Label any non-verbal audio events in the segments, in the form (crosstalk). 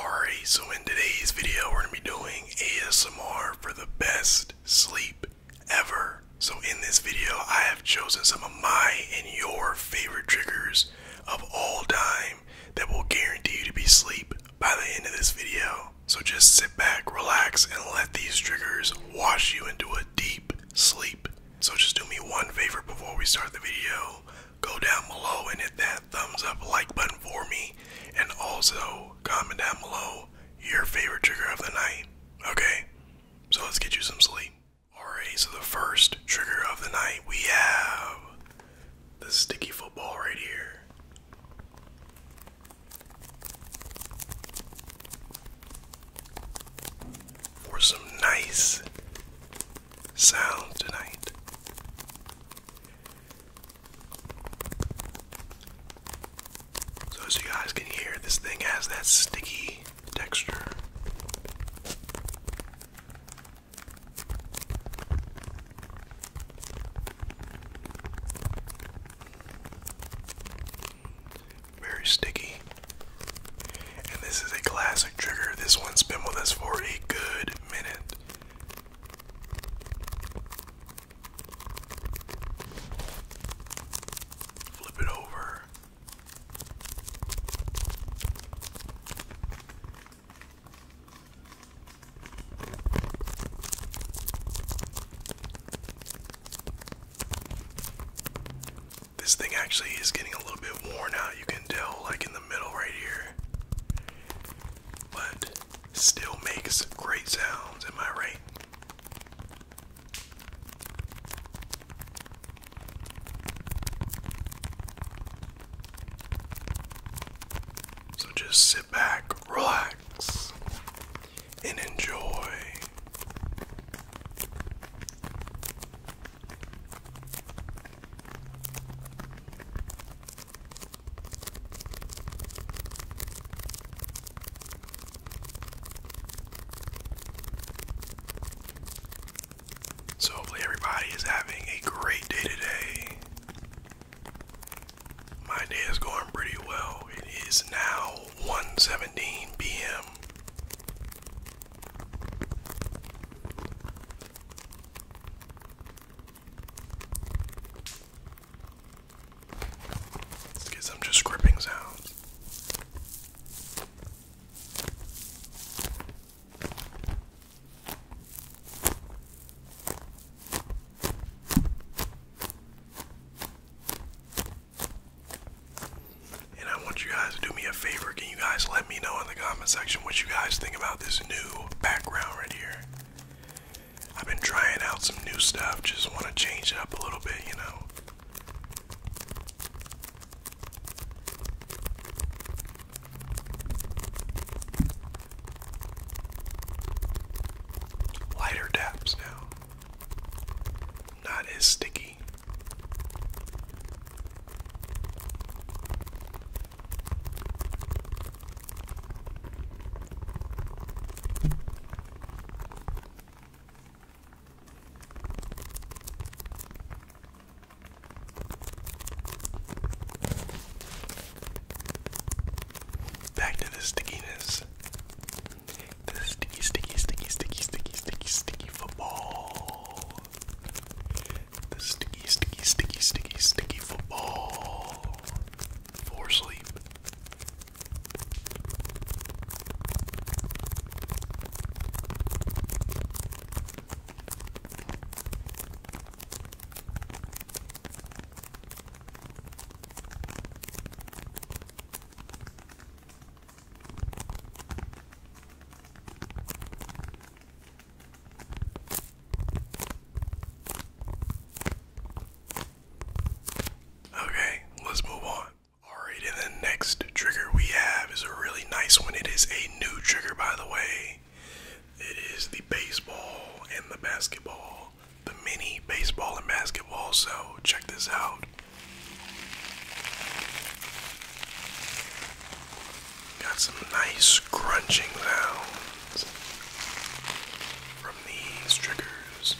Alright, so in today's video, we're going to be doing ASMR for the best sleep ever. So in this video, I have chosen some of my and your favorite triggers of all time that will guarantee you to be asleep by the end of this video. So just sit back, relax, and let these triggers wash you into a deep sleep. So just do me one favor before we start the video go down below and hit that thumbs up like button for me and also comment down below your favorite trigger of the night. Okay? So let's get you some sleep. Alright, so the first trigger of the night we have the sticky football right here. For some nice sound tonight. So as you guys can hear, this thing has that sticky texture. Very sticky. And this is a classic trigger. This one's been with us for a good minute. Flip it over. This thing actually is getting a little bit worn out. You can tell, like in the middle right here but still makes great sounds. Am I right? So just sit back, relax, and enjoy so, hopefully, everybody is having a great day today. My day is going pretty well. It is now 1:17 p.m. Let's get some just gripping sounds. And I want you guys to do me a favor. Can you guys let me know in the comment section what you guys think about this new background right here. I've been trying out some new stuff, just want to change it up a little bit, you know. Lighter dabs now. Not as sticky. Back to the stickiness. The sticky, sticky, sticky, sticky, sticky, sticky, sticky football. The sticky, sticky, sticky, sticky, sticky football for sleep. Okay, let's move on. Alright, and the next trigger we have is a really nice one. It is a new trigger, by the way. It is the baseball and the basketball, the mini baseball and basketball. So, check this out. Got some nice crunching sounds from these triggers.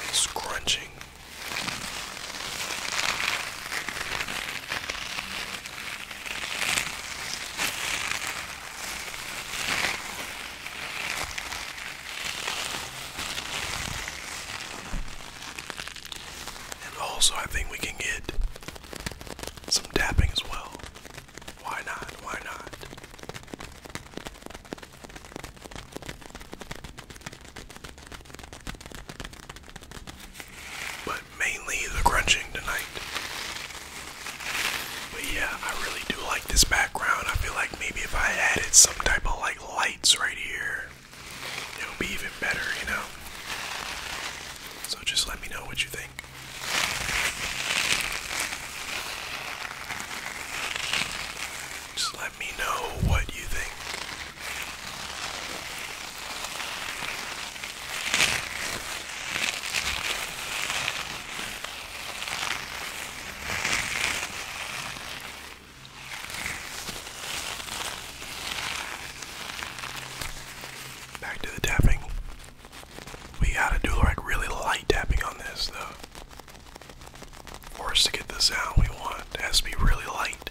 Nice crunching. And also, I think we can get some tapping as well. Why not? Why not? but mainly the crunching tonight. But yeah, I really do like this background. I feel like maybe if I added some type of like lights right here, it would be even better, you know? So just let me know what you think. Just let me know what you think. Back to the tapping. We gotta do like really light tapping on this though. For us to get the sound we want, it has to be really light.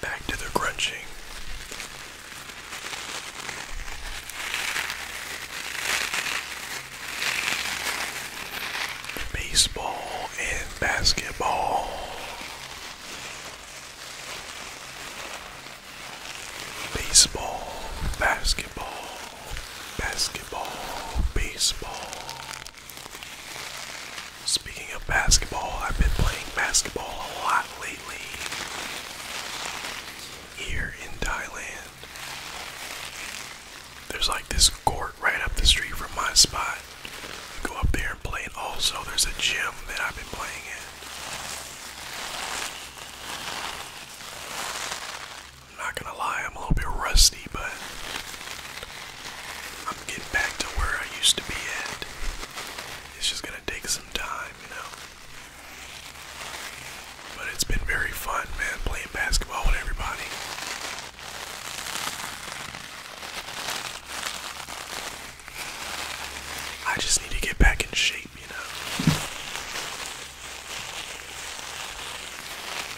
Back to the crunching. Baseball and basketball. Baseball, basketball, basketball, baseball, Speaking of basketball, I've been playing basketball a lot lately here in Thailand. There's like this court right up the street from my spot. I go up there and play, and also there's a gym that I've been playing in. I'm not gonna lie, I'm a little bit rusty, but I'm getting back to where I used to be at. It's just gonna take some time, you know. But it's been very fun, man, playing basketball with everybody. I just need to get back in shape, you know.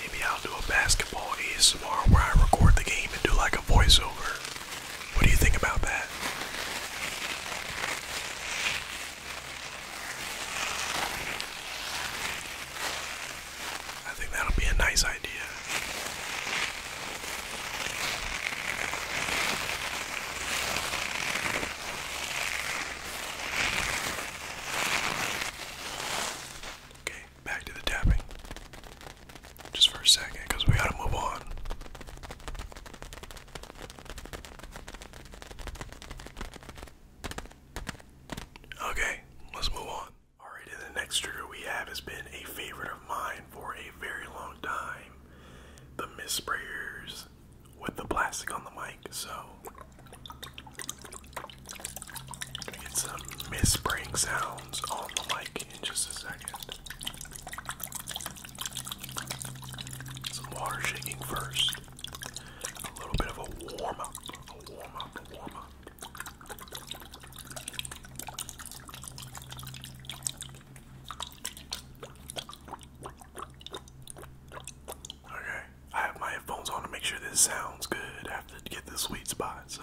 Maybe I'll do a basketball ASMR where I record the game and do like a voiceover. What do you think about that? I think that'll be a nice idea. Okay back to the tapping just for a second because we gotta move on. Okay, let's move on. Alright, the next trigger we have has been a favorite of mine for a very long time. The mist sprayers with the plastic on the mic, so get some whispering sounds on the mic in just a second. Some water shaking first. A little bit of a warm up, a warm up, a warm up. Okay, I have my headphones on to make sure this sounds good. I have to get the sweet spot. God, so.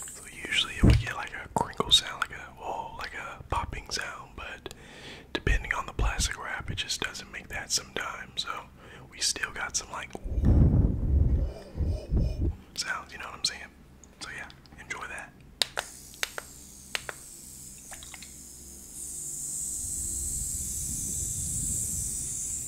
So usually it would get like a crinkle sound, like a well, like a popping sound, but depending on the plastic wrap, it just doesn't make that sometimes. So we still got some like sounds, you know what I'm saying? So yeah, enjoy that.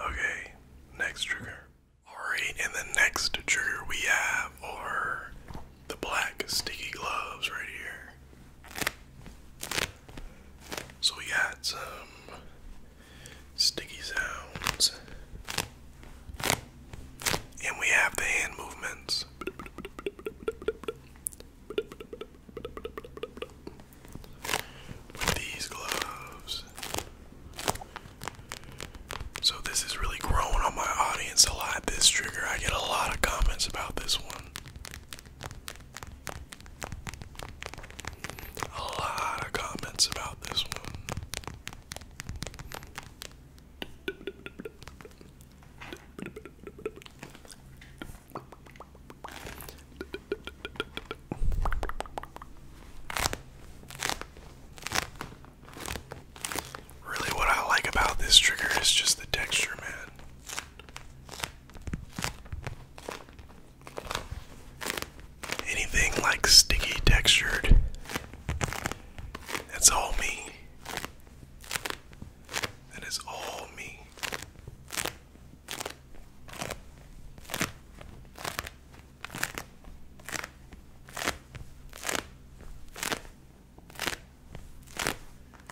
Okay, next trigger. Alright, and the next trigger we have are the black sticky gloves right here. So we got some sticky sounds. And we have the hand movements. With these gloves. So this is really growing on my audience a lot. This trigger, I get a lot of comments about this one. A lot of comments about this one. Really, what I like about this trigger is just the texture, man. Anything like sticky textured, that's all me. That is all me.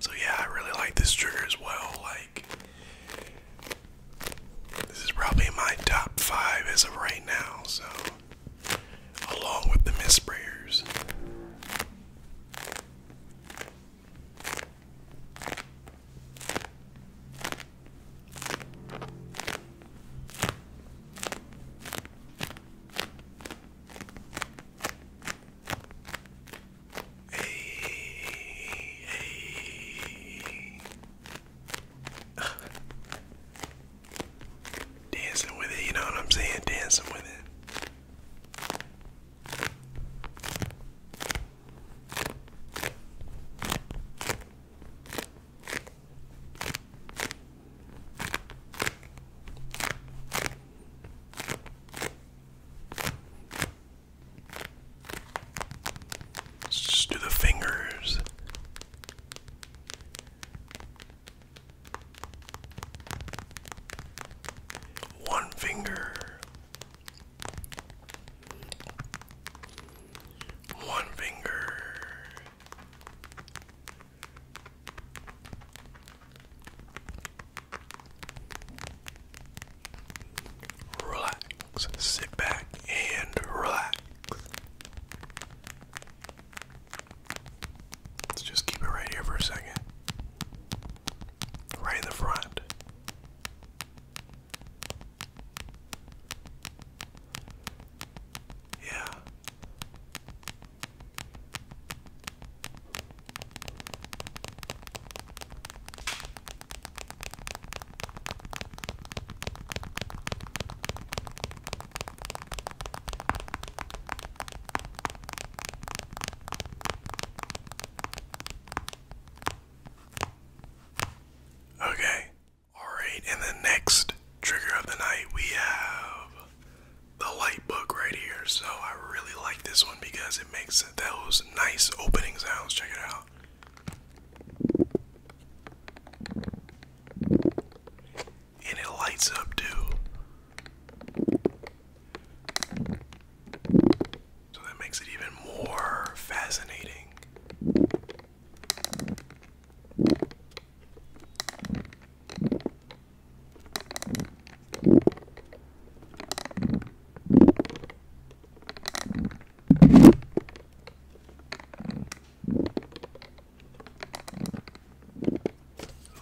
So yeah, I really like this trigger as well. Like this is probably my top five as of right now, so along with the mist sprayers. Hey, (laughs) hey. Dancing with it, you know what I'm saying? Dancing with it just do the fingers. One finger. One finger. Relax, sit back and relax. Let's just keep it right here for a second. Right in the front. Yeah. Okay. Alright, and the next trigger of the night we have the light book right here. So I really like this one because it makes those nice opening sounds. Check it out. And it lights up too. So that makes it even more fascinating.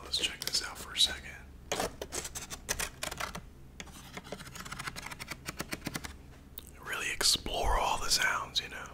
Let's check this out for a second. Really explore all the sounds, you know.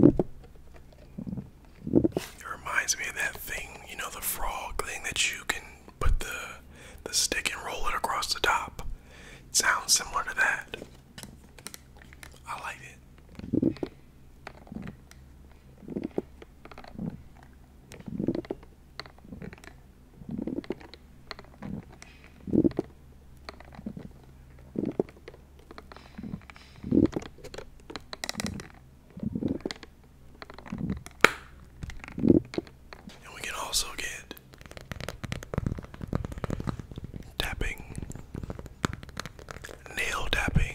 It reminds me of that thing, you know, the frog thing that you can put the the stick and roll it across the top. It sounds similar to that. I like it. And we can also get tapping, nail tapping.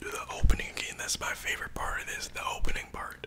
Do the opening again. That's my favorite part of this, the opening part.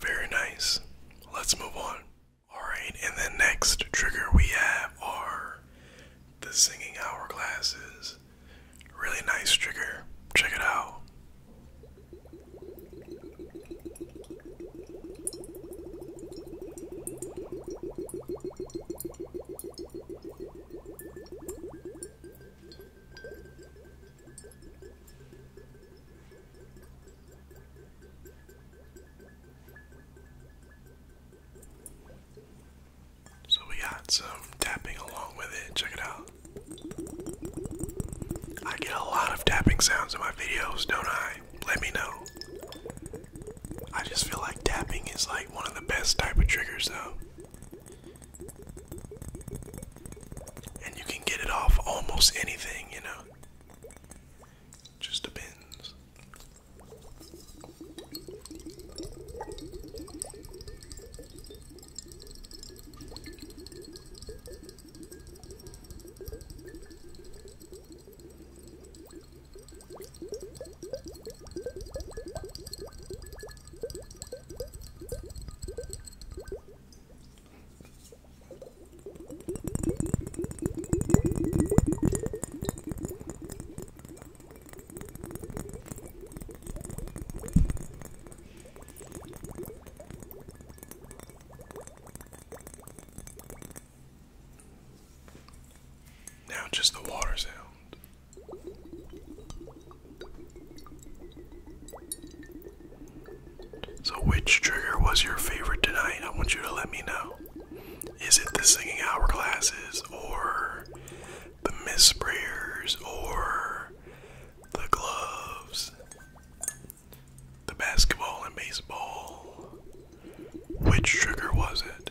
Very nice. Let's move on. Alright, and the next trigger we have are the singing hourglasses. Really nice trigger. Check it out. So we got some tapping along with it. Check it out. I get a lot of tapping sounds in my videos, don't I? Let me know. I just feel like tapping is like one of the best type of triggers though. And you can get it off almost anything, you know. Just depends. Now, just the water sound. So, which trigger was your favorite tonight? I want you to let me know. Is it the singing hourglasses, or the miss prayers, or the gloves, the basketball and baseball? Which trigger was it?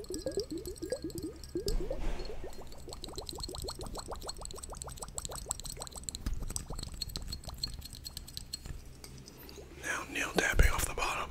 Now Neil tapping off the bottom.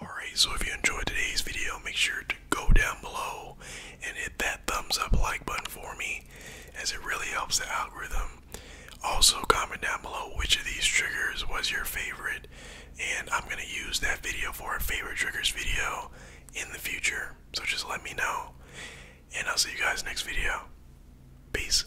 Alright, so if you enjoyed today's video, make sure to go down below and hit that thumbs up like button for me, as it really helps the algorithm. Also, comment down below which of these triggers was your favorite, and I'm going to use that video for a favorite triggers video in the future. So just let me know, and I'll see you guys next video. Peace.